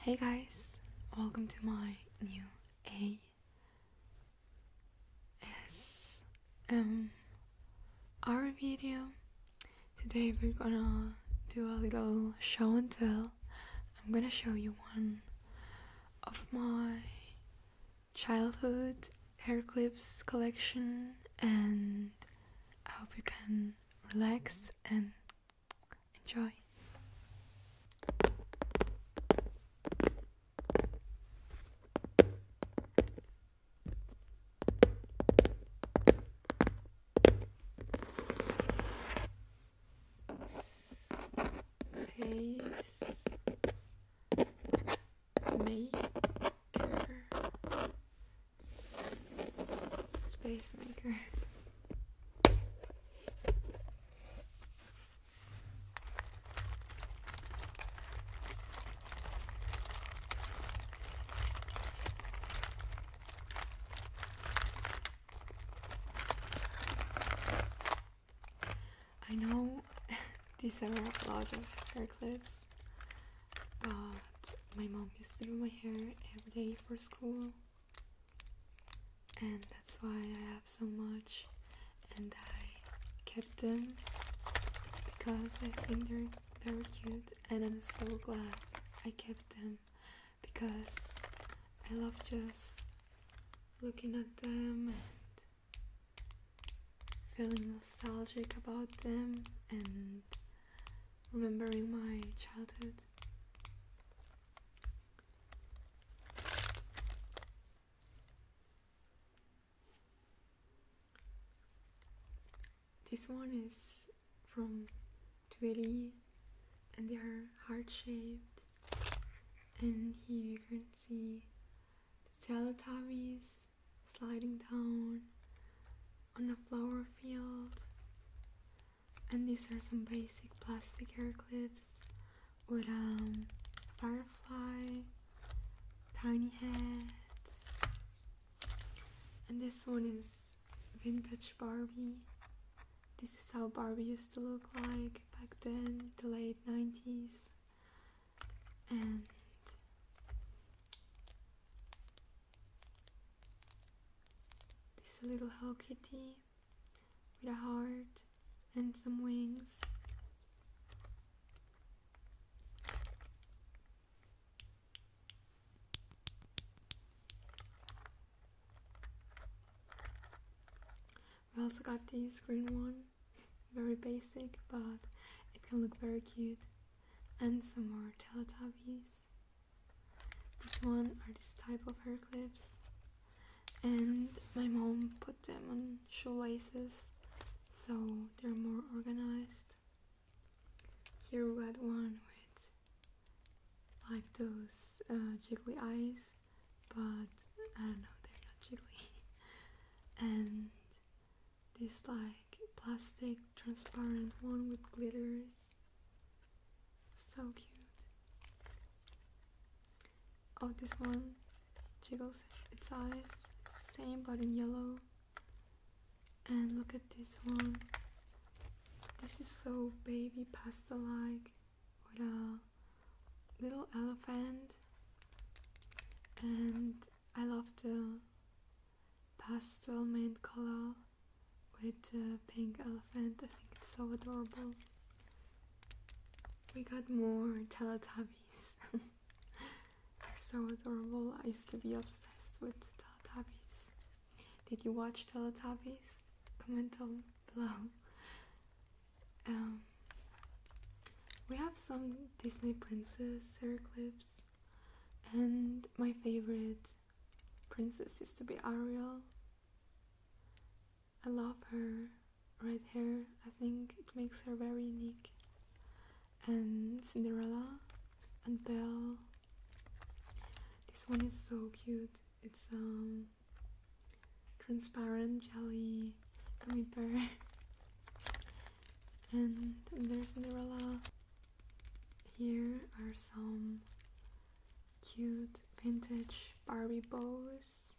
Hey guys, welcome to my new ASMR video. Today we're gonna do a little show and tell. I'm gonna show you one of my childhood hair clips collection and I hope you can relax and Enjoy. Pace maker, space maker. I know these are a lot of hair clips, but my mom used to do my hair every day for school and that's why I have so much and I kept them because I think they're very cute and I'm so glad I kept them because I love just looking at them and feeling nostalgic about them and remembering my childhood. This one is from Twilly and they are heart shaped and here you can see the Teletubbies sliding down on a flower field and these are some basic plastic hair clips with um, firefly, tiny heads, and this one is vintage Barbie. This is how Barbie used to look like back then, the late 90s. And this little Hello Kitty with a heart and some wings. We also got this green one, very basic, but it can look very cute. And some more Teletubbies this one are this type of hair clips, and my mom put them on shoelaces so they're more organized. Here we got one with like those uh, jiggly eyes, but I don't know, they're not jiggly. and this like plastic transparent one with glitters so cute. Oh, this one jiggles its eyes. It's the same, but in yellow. And look at this one. This is so baby pastel-like with a little elephant. And I love the pastel mint color with the pink elephant. I think it's so adorable. We got more Teletubbies. They're so adorable. I used to be obsessed with Teletubbies. Did you watch Teletubbies? Comment down below. Um, we have some Disney princess hair clips, and my favorite princess used to be Ariel, I love her red hair. I think it makes her very unique. And Cinderella and Belle. This one is so cute. It's um transparent jelly gummy bear. and there's Cinderella. Here are some cute vintage Barbie bows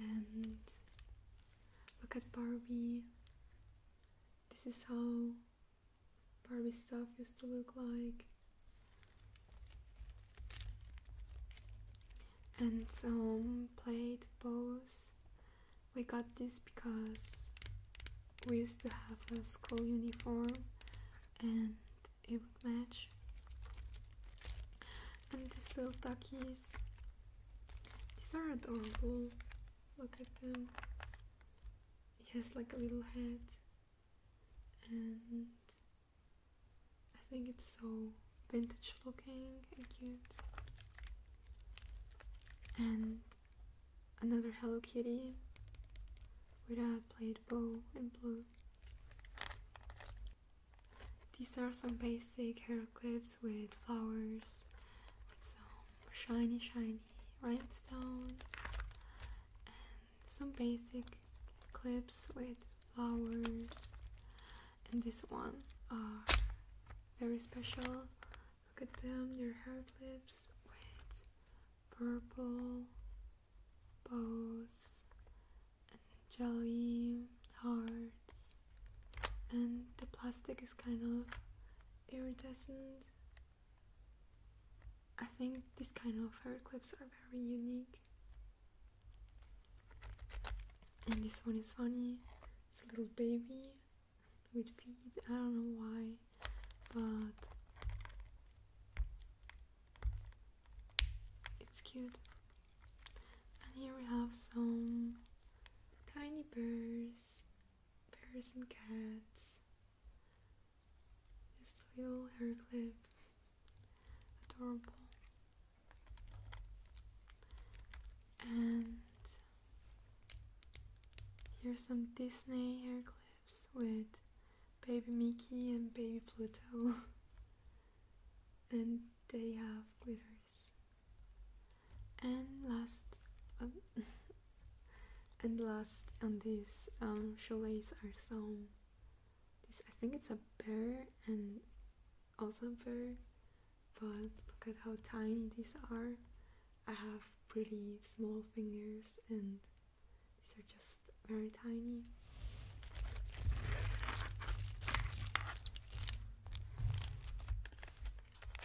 and look at Barbie this is how Barbie stuff used to look like and some plate bows we got this because we used to have a school uniform and it would match and these little duckies these are adorable look at them he has like a little head and I think it's so vintage looking and cute and another Hello Kitty with a plaid bow in blue these are some basic hair clips with flowers, with some shiny, shiny rhinestones, and some basic clips with flowers. And this one are very special. Look at them, they're hair clips with purple bows and jelly hearts and the plastic is kind of iridescent I think these kind of hair clips are very unique and this one is funny it's a little baby with feet I don't know why but it's cute. And here we have some tiny bears, bears and cats. Just a little hair clip. Adorable. And here's some Disney hair clips with baby Mickey and baby Pluto, and they have glitters. And last, um, and last on these um, shoelace are some. I think it's a bear and also a bear, but look at how tiny these are. I have pretty small fingers and these are just very tiny.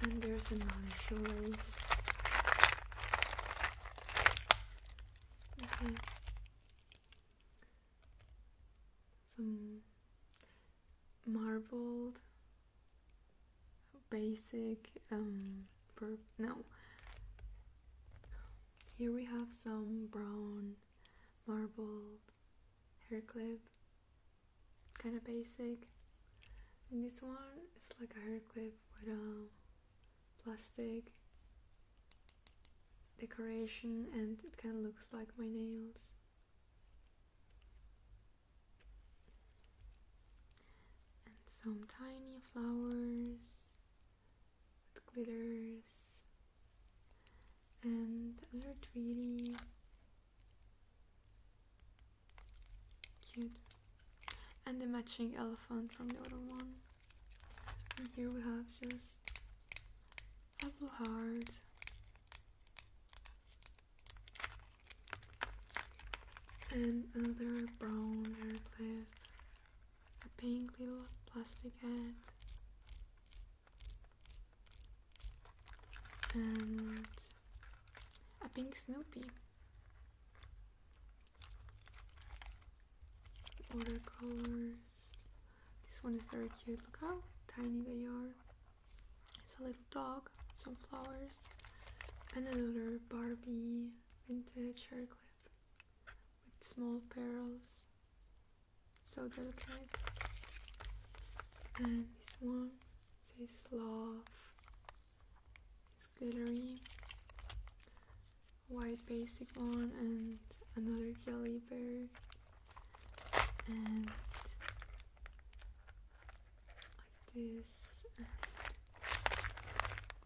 And there's another shoelace. Okay. Some marbled basic um no here we have some brown marble hair clip, kind of basic. And this one is like a hair clip with a plastic decoration and it kind of looks like my nails. And some tiny flowers glitters and they're really cute and the matching elephant from the other one and here we have just a blue heart and another brown hair clip a pink little plastic head and a pink Snoopy watercolors this one is very cute look how tiny they are it's a little dog some flowers and another Barbie vintage hair clip with small pearls, so delicate. And this one says love. It's glittery, white basic one, and another jelly bear, and like this, and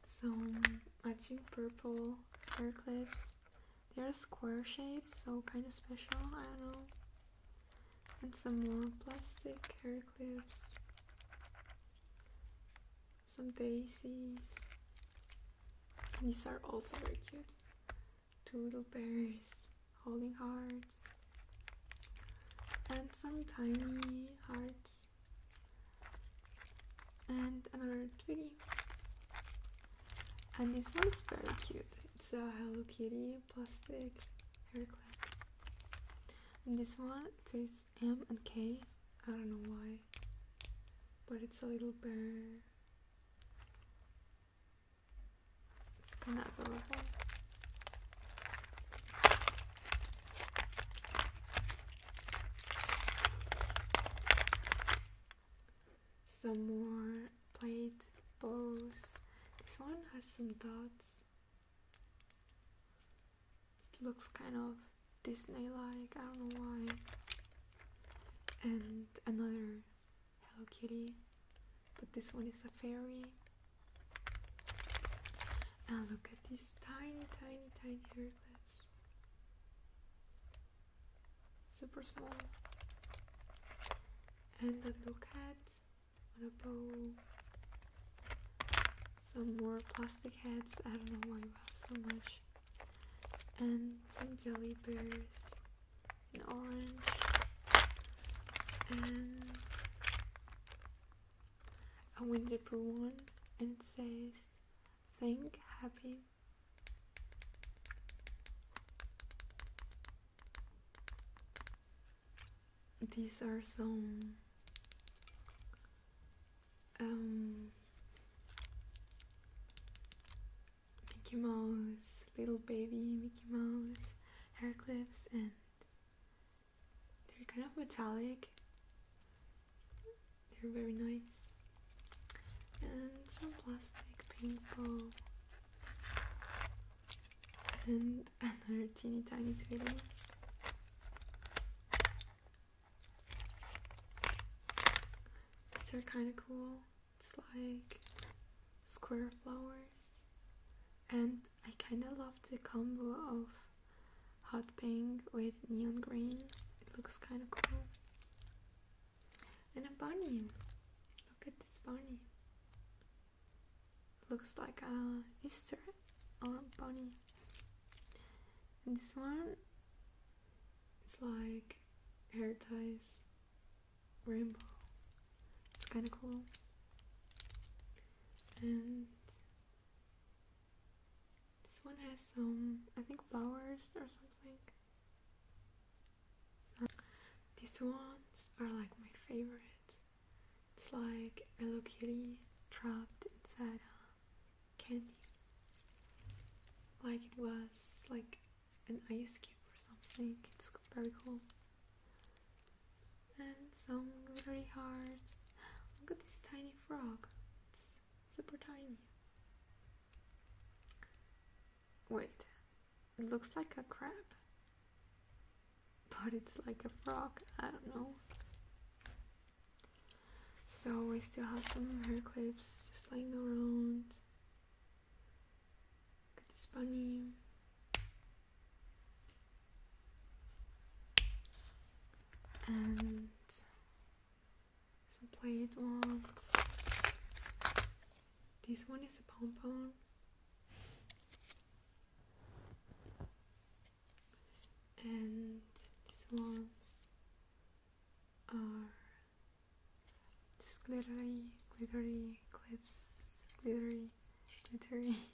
some matching purple hair clips they're square shaped, so kind of special. I don't know. And some more plastic hair clips. Some daisies. these are also very cute. Two little bears holding hearts. And some tiny hearts and another 2 And this one is very cute. It's a Hello Kitty plastic hair clip. And this one it says M and K. I don't know why, but it's a little bird. It's kind of adorable some more plate balls. This one has some dots. It looks kind of Disney like, I don't know why. And another Hello Kitty, but this one is a fairy. And look at these tiny, tiny, tiny hair clips super small and a little cat on a bow some more plastic heads I don't know why you have so much and some jelly bears in orange and a Winnie the one and it says think happy these are some um, Mickey Mouse, little baby Mickey Mouse hair clips, and they're kind of metallic. They're very nice. And some plastic ping pong. And another teeny tiny tweedle. These are kind of cool. It's like square flowers. And I kind of love the combo of hot pink with neon green. It looks kind of cool. And a bunny. Look at this bunny. Looks like a Easter or bunny. this one is like hair ties, rainbow. It's kind of cool. And this one has some, I think, flowers or something. These ones are like my favorite. It's like a Kitty trapped inside a candy. Like it was like an ice cube or something. It's very cool. And some glittery hearts. Look at this tiny frog super tiny. Wait, it looks like a crab, but it's like a frog. I don't know. So I still have some hair clips just laying around. Look at this bunny. And so play it once. This one is a pom-pom. And these ones are just glittery, glittery clips, glittery, glittery.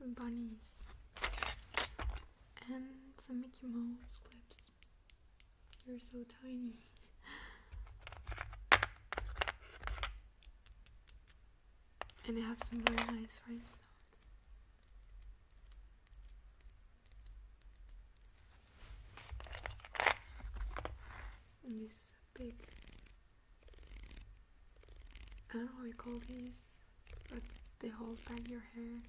Some bunnies and some Mickey Mouse clips. You're so tiny. and I have some very nice rhinestones. And this big, I don't know how you call these, but they hold back your hair.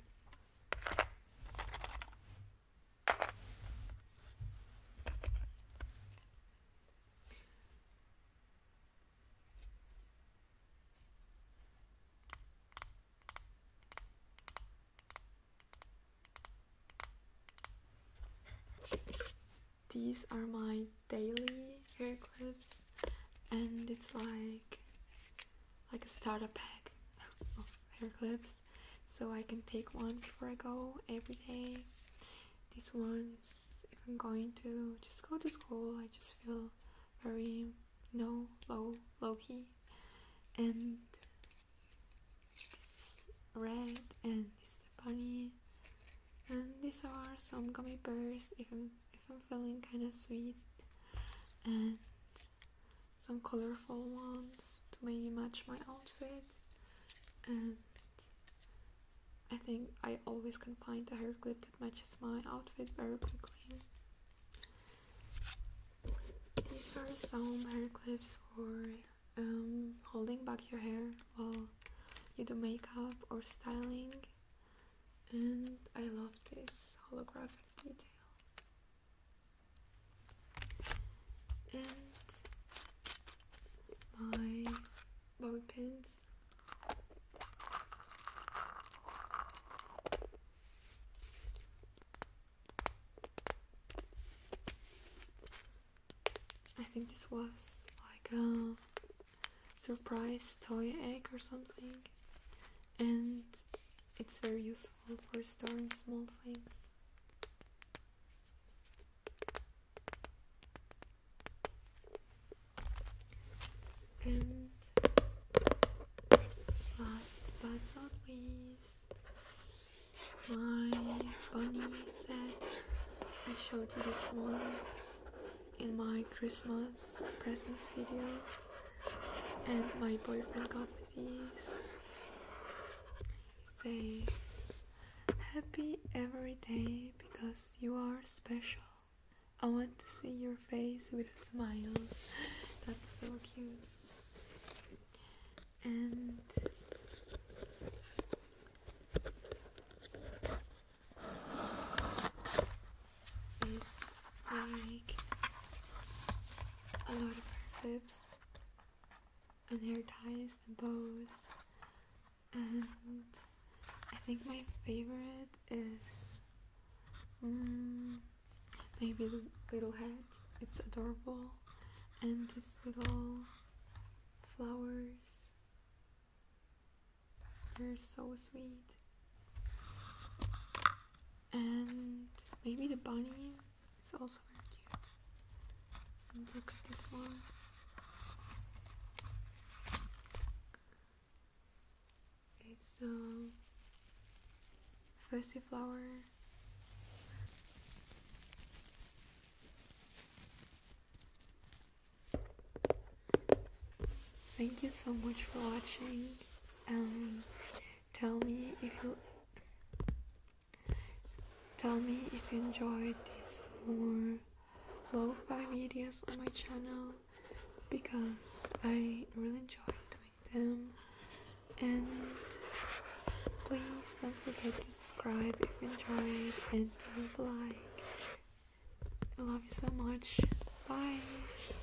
These are my daily hair clips, and it's like like a starter pack of hair clips so I can take one before I go every day. These ones, if I'm going to just go to school, I just feel very you low, low key. And this red, and this bunny, and these are some gummy bears. If I'm feeling kind of sweet, and some colorful ones to maybe match my outfit. And I think I always can find a hair clip that matches my outfit very quickly. These are some hair clips for um, holding back your hair while you do makeup or styling. And I love this holographic detail. And my bobby pins. I think this was like a surprise toy egg or something and it's very useful for storing small things. And last but not least, my bunny set I showed you this one in my Christmas presents video and my boyfriend got me these. It says, Happy every day because you are special. I want to see your face with a smile. That's so cute. And it's like a lot of hair clips and hair ties and bows and I think my favorite is mm, maybe the little hat. It's adorable and these little flowers. They're so sweet. And maybe the bunny is also very cute. look at this one. It's a um, flower. Thank you so much for watching. Um, Tell me if you tell me if you enjoyed these more lo-fi videos on my channel because I really enjoy doing them and please don't forget to subscribe if you enjoyed and to leave a like. I love you so much. Bye!